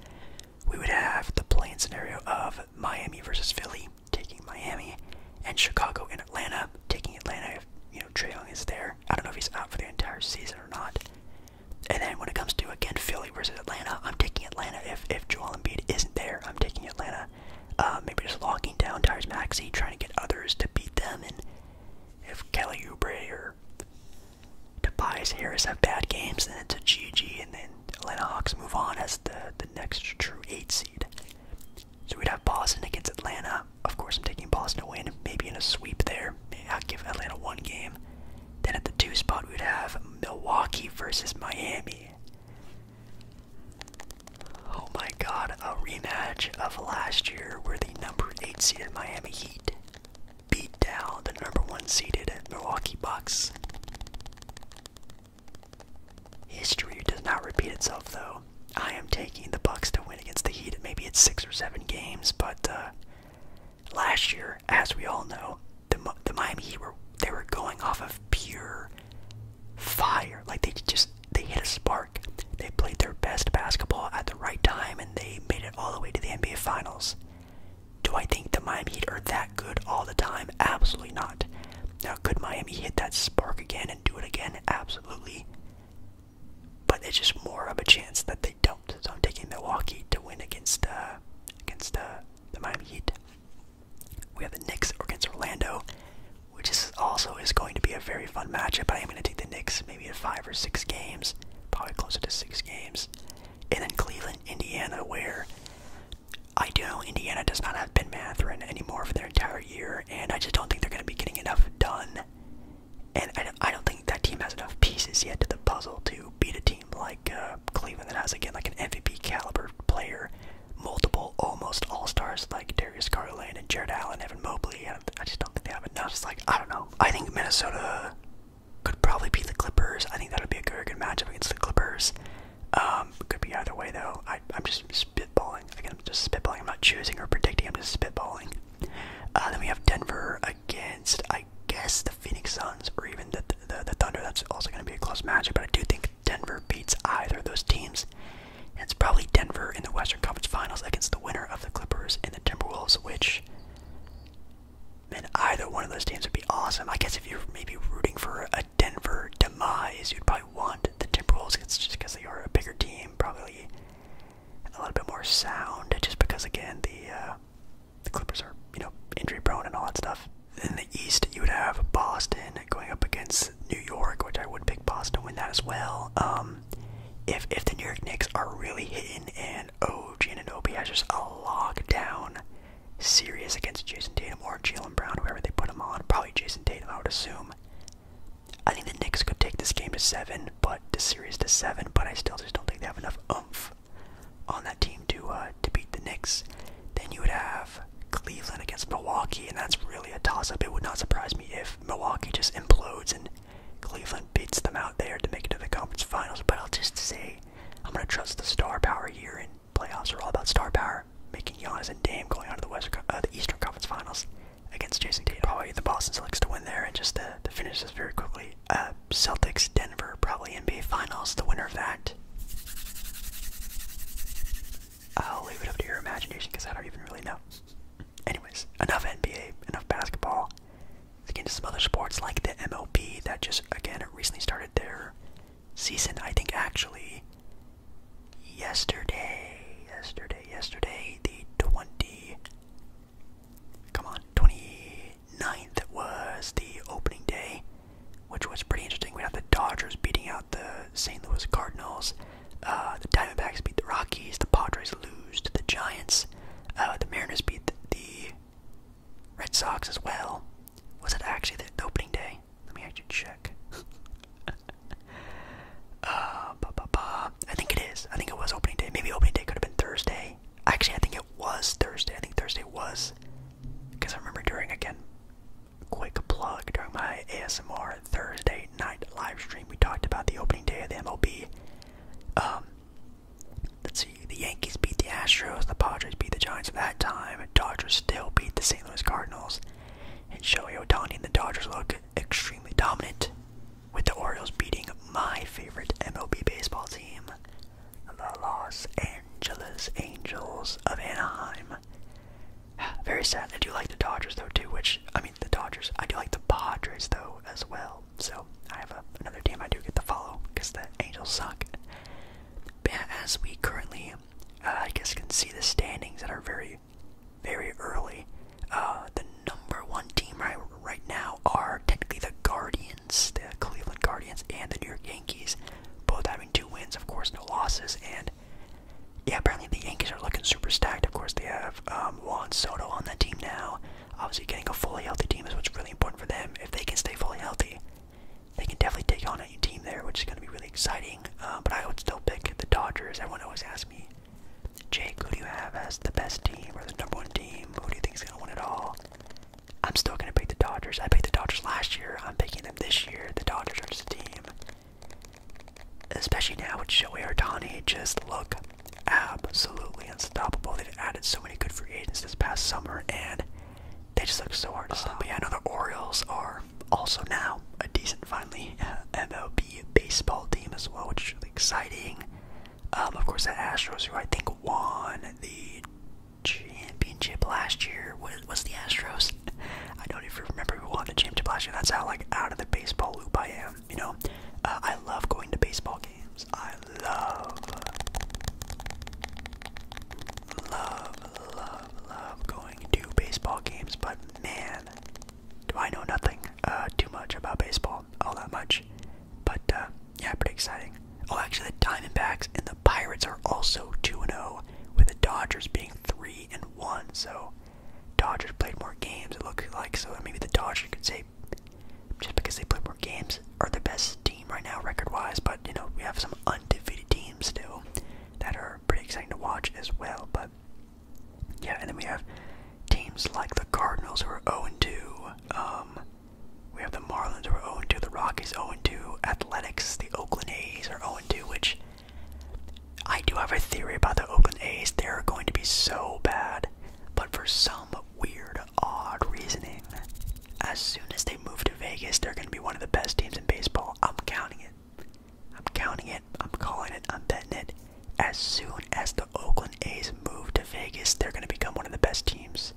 we would have the playing scenario of Miami versus Philly taking Miami, and Chicago and Atlanta, taking Atlanta if you know Trae Young is there. I don't know if he's out for the entire season or not. And then when it comes to again Philly versus Atlanta, I'm taking Atlanta if if Joel Embiid isn't there. I'm taking Atlanta. Uh, maybe just locking down Tyrese Maxey, trying to get others to beat them, and if Kelly Oubre or Tobias Harris have bad games, then it's a GG, and then Atlanta Hawks move on as the the next true eight seed. So we'd have Boston against Atlanta. Of course, I'm taking Boston to win, maybe in a sweep there. I'll give Atlanta one game. Then at the two spot, we'd have Milwaukee versus Miami. Oh my god, a rematch of last year where the number 8 seeded Miami Heat beat down the number 1 seeded Milwaukee Bucks. History does not repeat itself, though. I am taking the Bucks to win against the Heat. Maybe it's six or seven games, but uh, last year, as we all know, the the Miami Heat were they were going off of pure fire. Like they just they hit a spark. They played their best basketball at the right time, and they made it all the way to the NBA Finals. Do I think the Miami Heat are that good all the time? Absolutely not. Now, could Miami hit that spark again and do it again? Absolutely. But it's just more of a chance that they don't. So I'm taking Milwaukee to win against uh, against uh, the Miami Heat. We have the Knicks against Orlando, which is also is going to be a very fun matchup. I am going to take the Knicks maybe five or six games, probably closer to six games. And then Cleveland, Indiana, where I do know Indiana does not have Ben Matherin anymore for their entire year, and I just don't think they're going to be getting enough done. And I, don't think that team has enough pieces yet to the puzzle to beat a team like uh, Cleveland that has again like an MVP caliber player, multiple almost all stars like Darius Garland and Jared Allen, Evan Mobley. I, I just don't think they have enough. like I don't know. I think Minnesota could probably beat the Clippers. I think that would be a good, good matchup against the Clippers. Um, could be either way though. I, I'm just spitballing. I'm just spitballing. I'm not choosing or predicting. I'm just spitballing. Uh, then we have Denver against, I guess, the Phoenix Suns or even the the, Thunder. That's also going to be a close match. But I do think Denver beats either of those teams. it's probably Denver in the Western Conference Finals against the winner of the Clippers and the Timberwolves, which. Man, either one of those teams would be awesome. I guess if you're maybe rooting for a. Denver demise, you'd probably want the Timberwolves just because they are a bigger team, probably a little bit more sound. Just because, again, the uh, the Clippers are you know injury prone and all that stuff. In the East, you would have Boston going up against New York, which I would pick Boston to win that as well. Um, if if the New York Knicks are really hitting and OG and Anobi has just a lockdown serious against Jason Tatum or Jalen Brown, whoever they put him on, probably Jason Tatum, I would assume. I think the Knicks could take this game to seven, but the series to seven. But I still just don't think they have enough oomph on that team to uh, to beat the Knicks. Then you would have Cleveland against Milwaukee, and that's really a toss-up. It would not surprise me if Milwaukee just implodes and Cleveland beats them out there to make it to the conference finals. But I'll just say I'm gonna trust the star power here, and playoffs are all about star power are making Giannis and Dame going on to the West, uh, the Eastern Conference Finals against Jason Tatum. Probably the Boston Celtics to win there, and just to, to finish this very quickly, uh, Celtics Denver probably NBA Finals. The winner of that. I'll leave it up to your imagination because I don't even really know. Anyways, enough NBA, enough basketball. Let's get into some other sports like the MLB that just again recently started their season. I think actually yesterday, yesterday, yesterday, the 20, come on, 29th was the opening day, which was pretty interesting. We had the Dodgers beating out the St. Louis Cardinals, uh, the Diamondbacks beat the Rockies, the Padres lose to the Giants, uh, the Mariners beat the Red Sox as well. Was it actually the opening day? let me actually check. <laughs> uh, ba -ba -ba. I think it is. I think it was opening day. Maybe opening day could have been Thursday. Actually, I think it was Thursday. I think Thursday was. Because I remember during, again, quick plug, during my ASMR Thursday night live stream, we talked about the opening day of the MLB. Um, let's see, the Yankees beat the Astros, the Padres beat the Giants at that time, Dodgers still beat the St. Louis Cardinals, and Shohei Otani and the Dodgers look extremely dominant, with the Orioles beating my favorite MLB baseball team, the Los Angeles Angels of Anaheim. <sighs> Very sad. I do like the Dodgers though too, which I mean the Dodgers. I do like the Padres though as well. So I have another team I do get to follow because the Angels suck. as we currently, uh, I guess, can see the standings that are very very, early. Uh, the number one team right, right now are technically the Guardians, the Cleveland Guardians, and the New York Yankees, both having two wins, of course, no losses. And yeah, apparently the Yankees are looking super stacked. Of course, they have um, Juan Soto on that team now. Obviously, getting a fully healthy team is what's really important for them. If they can stay fully healthy, they can definitely take on any team there, which is going to be really exciting. Uh, but I would still pick the Dodgers. Everyone always asks me, Jake, who do you have as the best team or the number one team? Who do you think is going to win it all? I'm still going to pick the Dodgers. I picked the Dodgers last year. I'm picking them this year. The Dodgers are just a team. Especially now with Shohei Ohtani just look absolutely unstoppable. They've added so many good free agents this past summer, and they just look so hard to stop. Uh-huh. I know the Orioles are also now a decent, finally, uh, MLB baseball team as well, which is really exciting. Um, of course, the Astros, who I think won the championship last year. What was the Astros? <laughs> I don't even remember who won the championship last year. That's how like out of the baseball loop I am. You know, uh, I love going to baseball games. I love, love, love, love going to baseball games. But man, do I know nothing uh, too much about baseball, all that much. But uh, yeah, pretty exciting. Oh, actually, the Diamondbacks and the Pirates are also 2 0, with the Dodgers being 3 and 1. So, Dodgers played more games, it looks like. So, maybe the Dodgers could say, just because they played more games, are the best team right now, record wise. But, you know, we have some undefeated teams still that are pretty exciting to watch as well. But, yeah, and then we have teams like the Cardinals who are 0-2. Um, we have the Marlins who are 0-2, the Rockies 0-2, Athletics, the Oakland A's are 0-2, which I do have a theory about the Oakland A's. They're going to be so bad, but for some weird, odd reasoning, as soon as they move to Vegas, they're going to be one of the best teams in baseball. I'm counting it. I'm counting it. I'm calling it. I'm betting it. As soon as the Oakland A's move to Vegas, they're going to become one of the best teams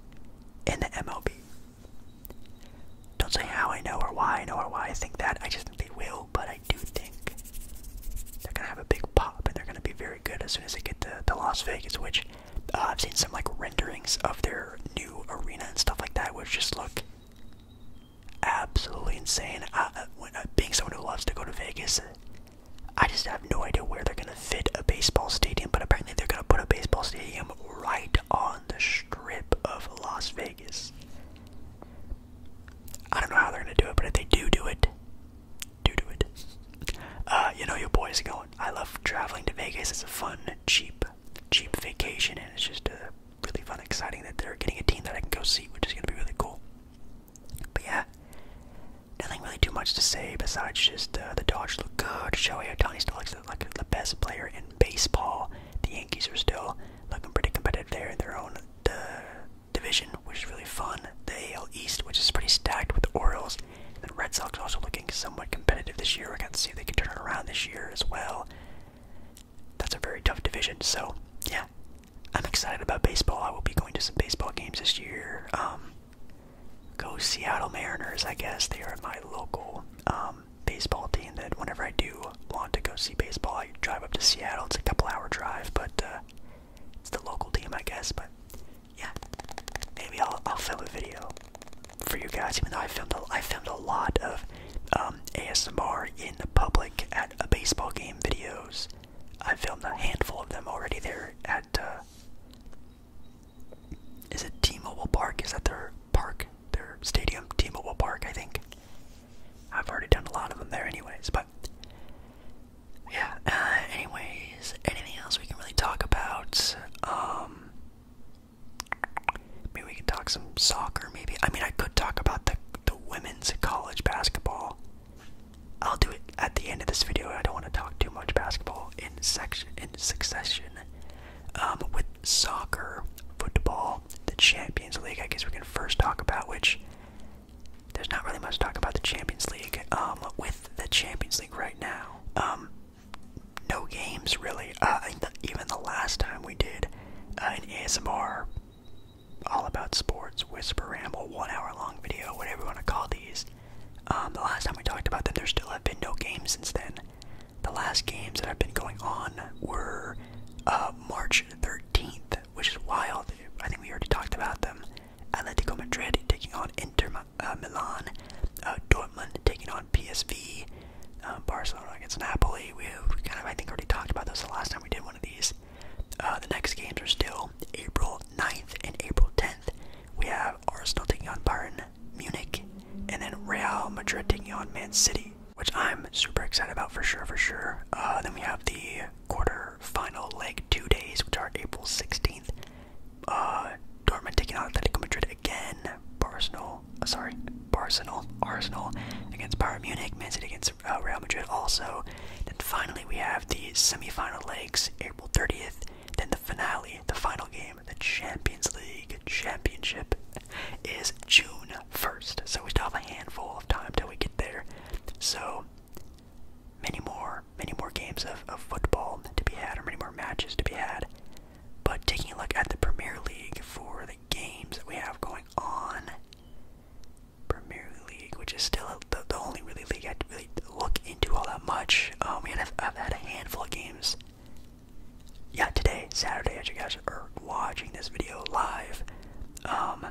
in the MLB. Don't say how I know or why I know or why I think that. I just think they will, but I do think they're going to have a big pop and they're going to be very good as soon as they get to, the Las Vegas, which uh, I've seen some like renderings of their new arena and stuff like that, which just look absolutely insane. Uh, being someone who loves to go to Vegas, I just have no idea where they're gonna fit a baseball stadium, but apparently they're gonna put a baseball stadium right on the strip of Las Vegas. I don't know how they're gonna do it, but if they do do it, do do it. <laughs> Uh, you know your boys are going. I love traveling to Vegas. It's a fun, cheap, cheap vacation, and it's just a really fun, exciting that they're getting a team that I can go see, which is going to be really cool. But yeah, nothing really too much to say besides just uh, the Dodgers look good. Shohei Otani still looks like the best player in baseball. The Yankees are still looking pretty competitive there in their own uh, division, which is really fun. The AL East, which is pretty stacked with the Orioles. And the Red Sox also looking somewhat competitive this year. I got to see if they can turn it around this year as well. That's a very tough division, so yeah, I'm excited about baseball. I will be going to some baseball games this year. Um, go Seattle Mariners, I guess. They are my local um, baseball team that whenever I do want to go see baseball, I drive up to Seattle. It's a couple hour drive, but uh, it's the local team, I guess. But yeah, maybe I'll, I'll film a video for you guys, even though I filmed a, I filmed a lot of um, ASMR in the public at a baseball game videos. I filmed a handful of them already there at, uh, is it T-Mobile Park? Is that their park? Their stadium? T-Mobile Park, I think. I've already done a lot of them there anyways, but yeah, uh, anyways, anything else we can really talk about? Um, maybe we can talk some soccer, maybe. I mean, I could talk about the the women college basketball. I'll do it at the end of this video. I don't want to talk too much basketball in section in succession. Um, with soccer, football, the Champions League. I guess we can first talk about which. There's not really much to talk about the Champions League. Um, with the Champions League right now, um, no games really. Uh, I think even the last time we did uh, an ASMR all about sports, whisper ramble, one hour long video, whatever you want to call these. Um, the last time we talked about them, there still have been no games since then. The last games that have been going on were uh, March 13th, which is wild. I think we already talked about them. Atletico Madrid taking on Inter uh, Milan, uh, Dortmund taking on PSV, uh, Barcelona against Napoli. We, we kind of, I think, already talked about those the last time we did one of these. Uh, the next games are still April 9th and April 10th. We have Arsenal taking on Bayern Munich, and then Real Madrid taking on Man City, which I'm super excited about for sure, for sure. Uh, then we have the quarter final leg two days, which are April 16th. Uh, Dortmund taking on Atletico Madrid again. Arsenal, uh, sorry, Arsenal, Arsenal against Bayern Munich, Man City against. Uh, Real Madrid also. Then finally we have the semifinal legs, April 30th. Then the finale, the final game, the Champions League championship is June 1st. So we still have a handful of time till we get there. So many more, many more games of football to be had, or many more matches to be had. But taking a look at the Premier League for the games that we have going on, Premier League, which is still the, only really league I really look into all that much. Oh um, man, I've had a handful of games. Yeah, today, Saturday, as you guys are watching this video live. Um,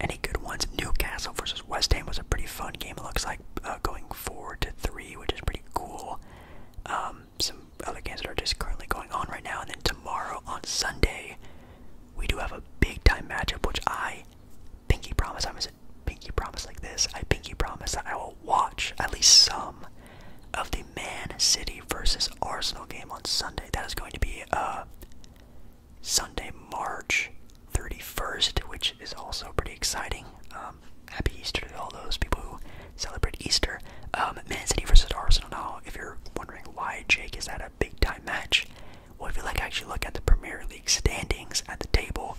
any good ones? Newcastle versus West Ham was a pretty fun game. It looks like uh, going four to three, which is pretty cool. Um, some other games that are just currently going on right now, and then tomorrow on Sunday, we do have a big time matchup, which I pinky promise. I was a pinky promise like this. I pinky promise that I will watch at least some of the Man City versus Arsenal game on Sunday. That is going to be uh, Sunday, March 31st, which is also pretty exciting. Um, happy Easter to all those people who celebrate Easter. Um, Man City versus Arsenal do if you're wondering why Jake is at a big time match. Well, if you like, actually look at the Premier League standings at the table.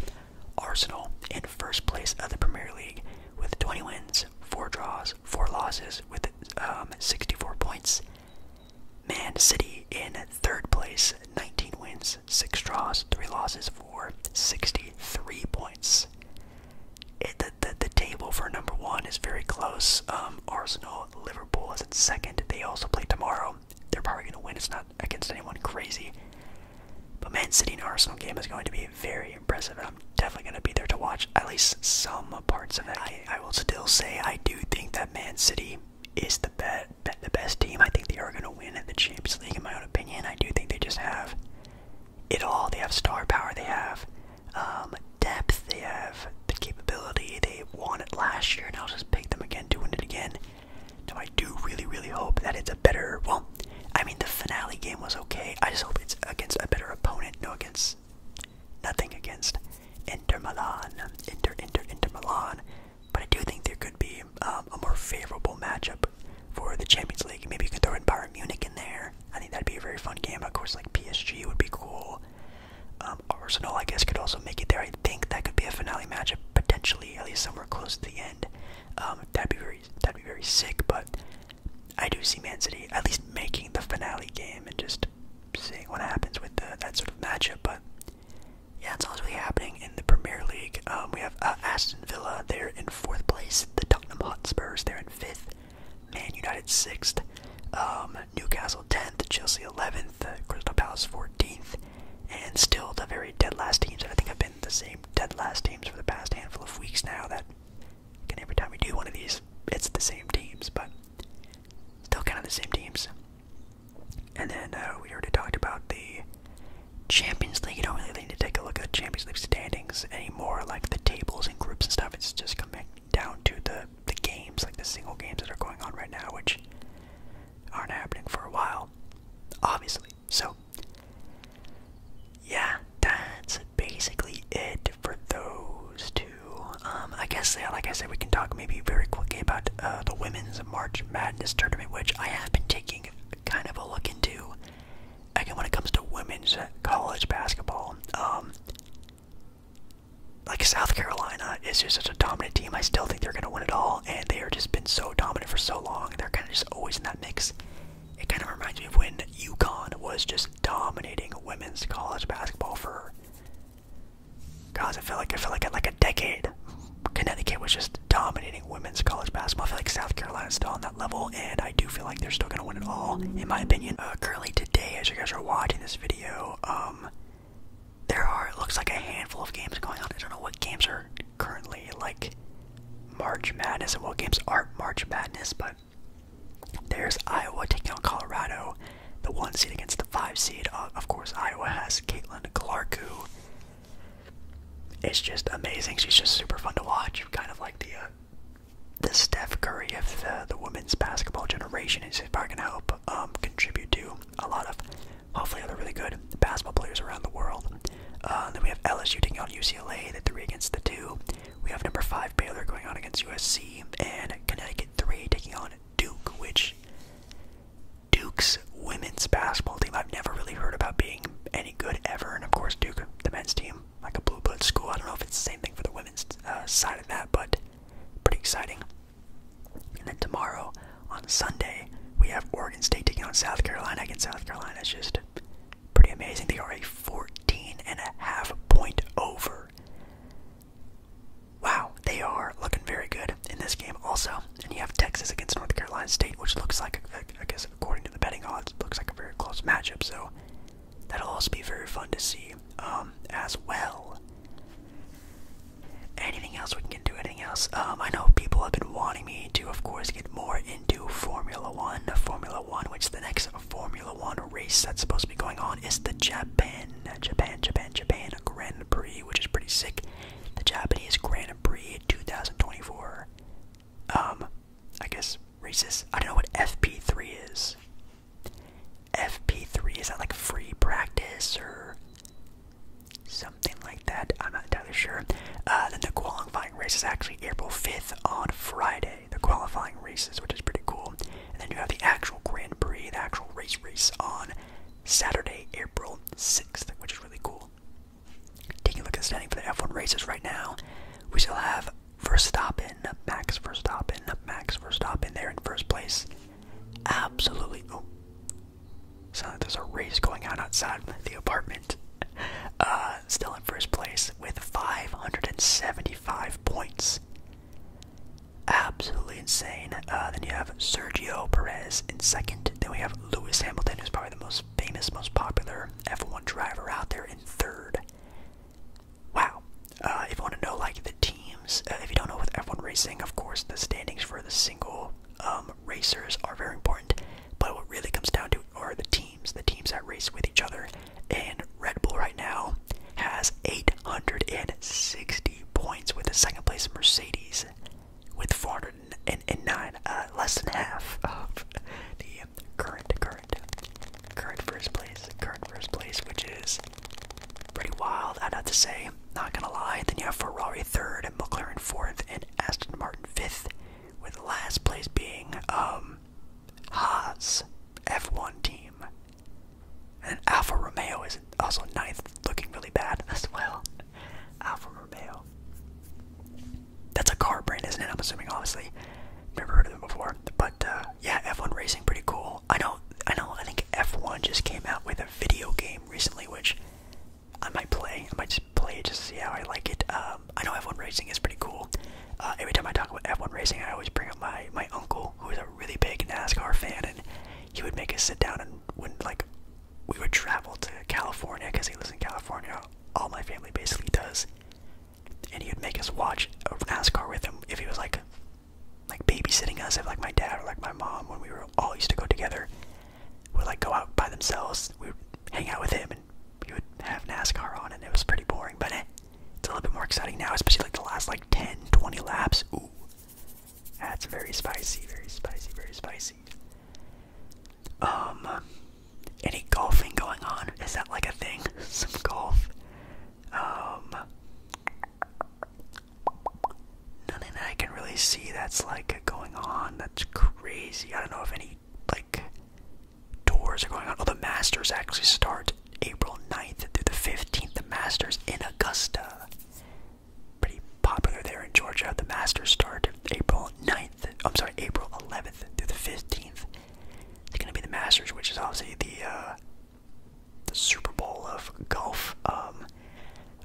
Arsenal in first place of the Premier League with 20 wins, 4 draws, 4 losses with um, 64 points. Man City in third place, 19 wins, 6 draws, 3 losses for 63 points. the, the, table for number 1 is very close. Um, Arsenal Liverpool is at second. They also play tomorrow. They're probably going to win. It's not against anyone crazy. But Man City Arsenal game is going to be very impressive. I'm definitely going to be there to watch at least some parts of it. I, will still say I do think that Man City is the, be the best team. I think they are going to win the Champions League, in my own opinion. I do think they just have it all. They have star power. They have um, depth. They have the capability. They won it last year, and I'll just pick them again doing it again. So I do really, really hope that it's a better. Well, I mean, the finale game was okay. I just hope it's against a better opponent. No, against nothing against Inter Milan, Inter, Inter, Inter Milan. But I do think there could be um, a more favorable matchup for the Champions League. Maybe you could throw in Bayern Munich in there. I think that'd be a very fun game. Of course, like PSG would be cool. Um, Arsenal, I guess, could also make it there. I think that could be a finale matchup potentially, at least somewhere close to the end. Um, that'd be very, that'd be very sick. But I do see Man City at least making the finale game and just seeing what happens with that sort of matchup. But yeah, it's all really happening in the Premier League. Um, we have uh, Aston Villa; they're in fourth place. The Tottenham Hotspurs; they're in fifth. Man United 6th, um, Newcastle 10th, Chelsea 11th, Crystal Palace 14th, and still the very dead last teams And I think i have been the same dead last teams for the past handful of weeks now. That every time we do one of these, it's the same teams, but still kind of the same teams. And then uh, we already talked about the Champions League. You don't really need to take a look at the Champions League standings anymore, like the tables and groups and stuff. It's just coming down to the the games, like the single games that are going on right now, which aren't happening for a while, obviously. So, yeah, that's basically it for those two. Um, I guess, like I said, we can talk maybe very quickly about uh, the Women's March Madness tournament, which I have been taking kind of a look into. Again, when it comes to women's college basketball, um, like South Carolina is just such a dominant team. I still think they're gonna win it all, and they are just been so dominant for so long. They're kind of just always in that mix. It kind of reminds me of when UConn was just dominating women's college basketball for. Guys, I feel like I feel like at like a decade, Connecticut was just dominating women's college basketball. I feel like South Carolina's still on that level, and I do feel like they're still gonna win it all, in my opinion. Uh, currently today, as you guys are watching this video, uh, um, there are it looks like a handful of games going on. I don't know what games are currently like March Madness and what games aren't March Madness, but there's Iowa taking on Colorado, the one seed against the five seed. Uh, of course, Iowa has Caitlin Clark, who is just amazing. She's just super fun to watch. Kind of like the uh, the Steph Curry of the the women's basketball generation. Is probably gonna help um, contribute to a lot of hopefully other really good basketball players around the world. Uh, then we have LSU taking on UCLA, the three against the two. We have number five Baylor going on against USC, and Connecticut three taking on Duke, which Duke's women's basketball team I've never really heard about being any good ever, and of course Duke, the men's team, like a blue blood school. I don't know if it's the same thing for the women's uh, side of that, but pretty exciting. And then tomorrow, on Sunday, we have Oregon State taking on South Carolina. Against South Carolina is just pretty amazing. They are a 14 and a half point over. Wow, they are looking very good in this game also. And you have Texas against North Carolina State, which looks like, I guess according to the betting odds, looks like a very close matchup. So that'll also be very fun to see um, as well. Anything else we can do? Anything else? Um, I know people have been wanting me to, of course, get more into Formula One. Formula One, which the next Formula One race that's supposed to be going on is the Japan, Japan, Japan, Japan Grand Prix, which is pretty sick. The Japanese Grand Prix 2024. Um, I guess races. I don't know what FP3 is. FP3, is that like free practice or something like that? I'm not entirely sure. Uh, then the qualifying race is actually April 5th on Friday, the qualifying races, which is pretty cool. And then you have the actual Grand Prix, the actual race race on Saturday, April 6th, which is really cool. Taking a look at the standing for the F1 races right now, we still have first stop in Max First stop in Max First stop in there in first place absolutely. Oh, like there's a race going on outside the apartment. Uh, still in first place with 575 points. Absolutely insane. Uh, then you have Sergio Perez in second. Then we have Lewis Hamilton, who's probably the most famous, most popular F1 driver out there, in third wow. Uh, if you want to know like the teams, uh, if you don't know with F1 racing, of course the standings for the single um, racers are very important. But what really comes down to are the teams, the teams that race with each other. And Red Bull right now has 860 points with the second place Mercedes with 409, uh, less than half of the current, current, current first place, current first place, which is Pretty wild, i have to say. Not gonna lie. Then you have Ferrari third and McLaren fourth and Aston Martin fifth, with last place being um Haas F1 team. And Alfa Romeo is also ninth, looking really bad <laughs> as well. Alfa Romeo. That's a car brand, isn't it? I'm assuming, obviously. Never heard of them before. But uh, yeah, F1 racing pretty cool. I know, I know. I think F1 just came out with a video game recently, which I might play. I might just play it to see how I like it. Um, I know F1 racing is pretty cool. Uh, every time I talk about F1 racing, I always bring up my my uncle, who is a really big NASCAR fan, and he would make us sit down and when like we would travel to California because he lives in California. All my family basically does, and he would make us watch NASCAR with him if he was like like babysitting us if like my dad or like my mom when we were all used to go together would like go out by themselves we would hang out with him and we would have nascar on and it was pretty boring but eh, it's a little bit more exciting now especially like the last like 10 20 laps ooh that's very spicy very spicy very spicy um any golfing going on is that like a thing <laughs> some golf um Nothing I can really see that's like going on. That's crazy. I don't know if any like tours are going on. Oh, the Masters actually start April 9th through the 15th. The Masters in Augusta. Pretty popular there in Georgia. The Masters start April 9th. I'm sorry, April 11th through the 15th. It's going to be the Masters, which is obviously the uh, the Super Bowl of golf. Um,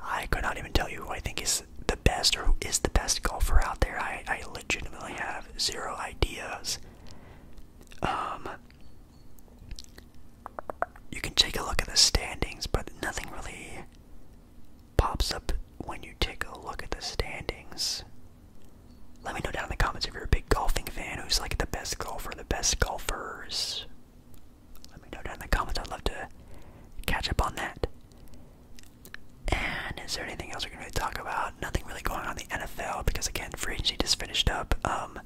I cannot even tell you who I think is the best or who is the best golfer out there. I, I legitimately have zero ideas. Um, you can take a look at the standings, but nothing really pops up when you take a look at the standings. Let me know down in the comments if you're a big golfing fan who's like the best golfer, the best golfers, let me know down in the comments. I'd love to catch up on that. And is there anything else we're gonna really talk about? Nothing really going on in the NFL because again, free agency just finished up. Um,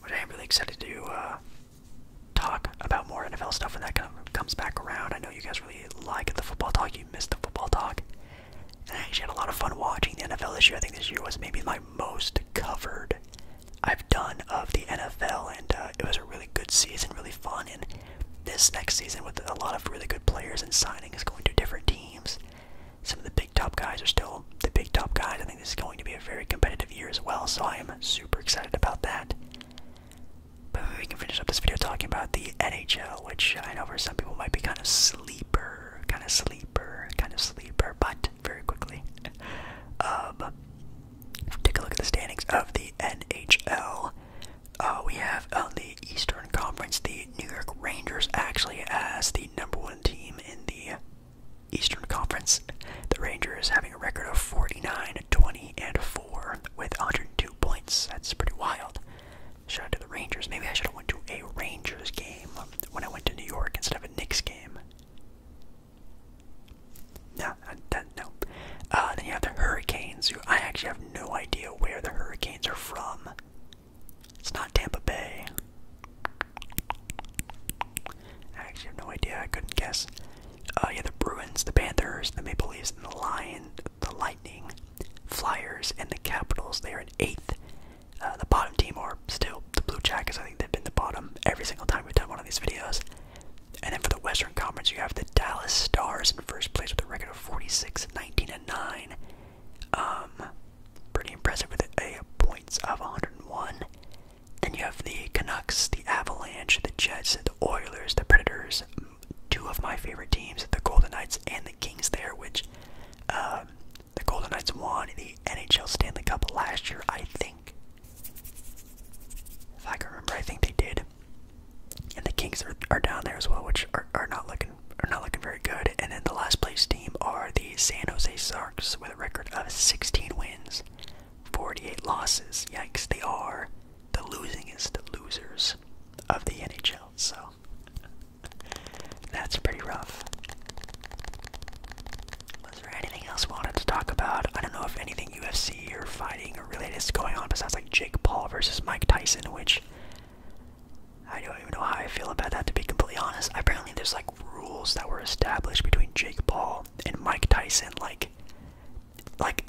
which I am really excited to uh, talk about more NFL stuff when that kind of comes back around. I know you guys really like the football talk. You missed the football talk. I actually had a lot of fun watching the NFL this year. I think this year was maybe my most covered I've done of the NFL, and uh, it was a really good season, really fun. And this next season, with a lot of really good players and signing, is going to different teams, some of the big top guys are still the big top guys. I think this is going to be a very competitive year as well, so I am super excited about that. But we can finish up this video talking about the NHL, which I know for some people might be kind of sleeper, kind of sleeper, kind of sleeper, but very quickly. <laughs> Um, take a look at the standings of the NHL. Uh, we have on the Eastern Conference the New York Rangers actually as the number one team in the Eastern Conference. The Rangers having a record of 49, 20, and 4 with 102 points. That's pretty wild. Shout out to the Rangers. Maybe I should have went to a Rangers game when I went to New York instead of a Knicks game. No, uh, no. Uh, then you have the Hurricanes, I actually have no idea where the Hurricanes are from. It's not Tampa Bay. I actually have no idea. I couldn't guess. Uh, yeah, the Bruins, the Panthers, the Maple Leafs, and the Lion, the Lightning, Flyers, and the Capitals. They are in eighth uh, the bottom team are still the Blue Jackets. I think they've been the bottom every single time we've done one of these videos. And then for the Western Conference, you have the Dallas Stars in first place with a record of 46, 19, and 9. Um, pretty impressive with a points of 101. Then you have the Canucks, the Avalanche, the Jets, the Oilers, the Predators. Two of my favorite teams, the Golden Knights and the Kings. There, which um, the Golden Knights won the NHL Stanley Cup last year, I think. If I can remember, I think they did. And the Kings are, down there as well, which are, are not looking are not looking very good. And then the last place team are the San Jose Sharks with a record of 16 wins, 48 losses. Yikes! They are the losingest losers of the NHL. So that's pretty rough. Was there anything else we wanted to talk about? I don't know if anything UFC or fighting or related is going on besides like Jake Paul versus Mike Tyson, which I don't even know how I feel about that to be completely honest. Apparently there's like rules that were established between Jake Paul and Mike Tyson, like like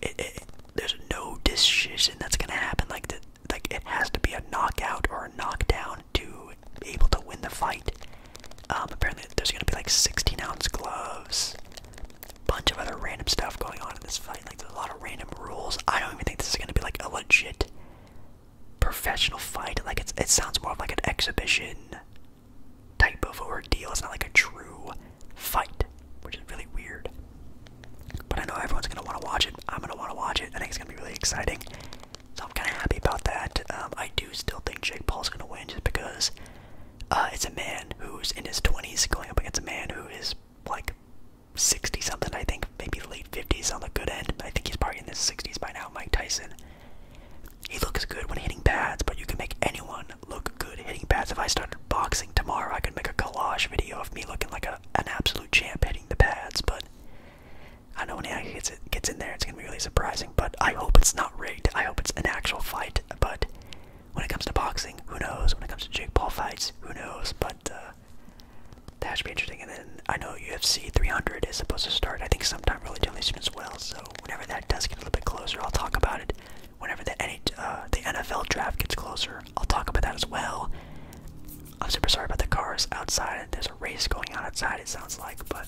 there's no decision that's gonna happen. Like like it has to be a knockout or a knockdown to able to win the fight. Um, apparently, there's gonna be like 16 ounce gloves, bunch of other random stuff going on in this fight. Like there's a lot of random rules. I don't even think this is gonna be like a legit professional fight. Like it's it sounds more of like an exhibition type of ordeal. It's not like a true fight, which is really weird. But I know everyone's gonna want to watch it. I'm gonna want to watch it. I think it's gonna be really exciting. So I'm kind of happy about that. Um, I do still think Jake Paul's going to win just because uh, it's a man who's in his 20s going up against a man who is like 60 something, I think, maybe late 50s on the good end. I think he's probably in his 60s by now, Mike Tyson. He looks good when hitting pads, but you can make anyone look good hitting pads. If I started boxing tomorrow, I could make a collage video of me looking like a, an absolute champ hitting the pads, but I know when he gets it, gets in there, it's gonna be really surprising. But I hope it's not rigged. I hope it's an actual fight. But when it comes to boxing, who knows? When it comes to Jake Paul fights, who knows? But uh, that should be interesting. And then I know UFC 300 is supposed to start. I think sometime really, relatively soon as well. So whenever that does get a little bit closer, I'll talk about it. Whenever the uh, the NFL draft gets closer, I'll talk about that as well. I'm super sorry about the cars outside. There's a race going on outside. It sounds like, but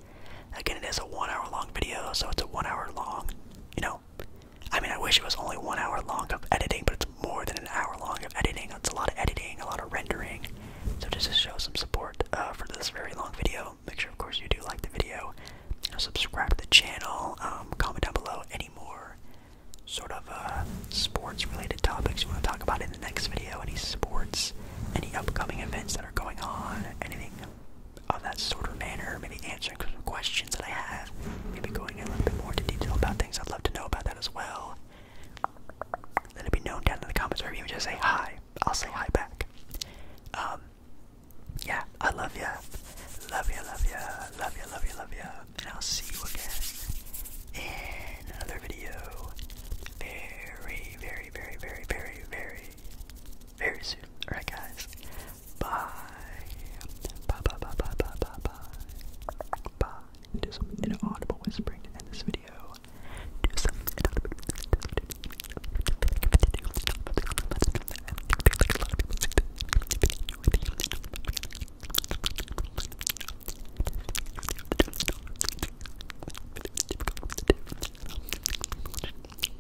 Again, it is a one-hour-long video, so it's a one-hour-long. You know, I mean, I wish it was only one hour long of editing, but it's more than an hour long of editing. It's a lot of editing, a lot of rendering. So just to show some support uh, for this very long video, make sure, of course, you do like the video. You uh, subscribe to the channel. Um, comment down below any more sort of uh, sports-related topics you want to talk about in the next video. Any sports, any upcoming events that are going on, anything of that sort of manner, maybe answering some questions that I have, maybe going a little bit more into detail about things. I'd love to know about that as well. Let it be known down in the comments, or even just say hi. I'll say hi back. Um, yeah, I love you, Love you, love you, love you, love you, love you, And I'll see you again in another video very, very, very, very, very, very very soon. Alright, guys. Bye. Bye, bye, bye, bye, bye, bye, bye. Do some inaudible whispering to end this video.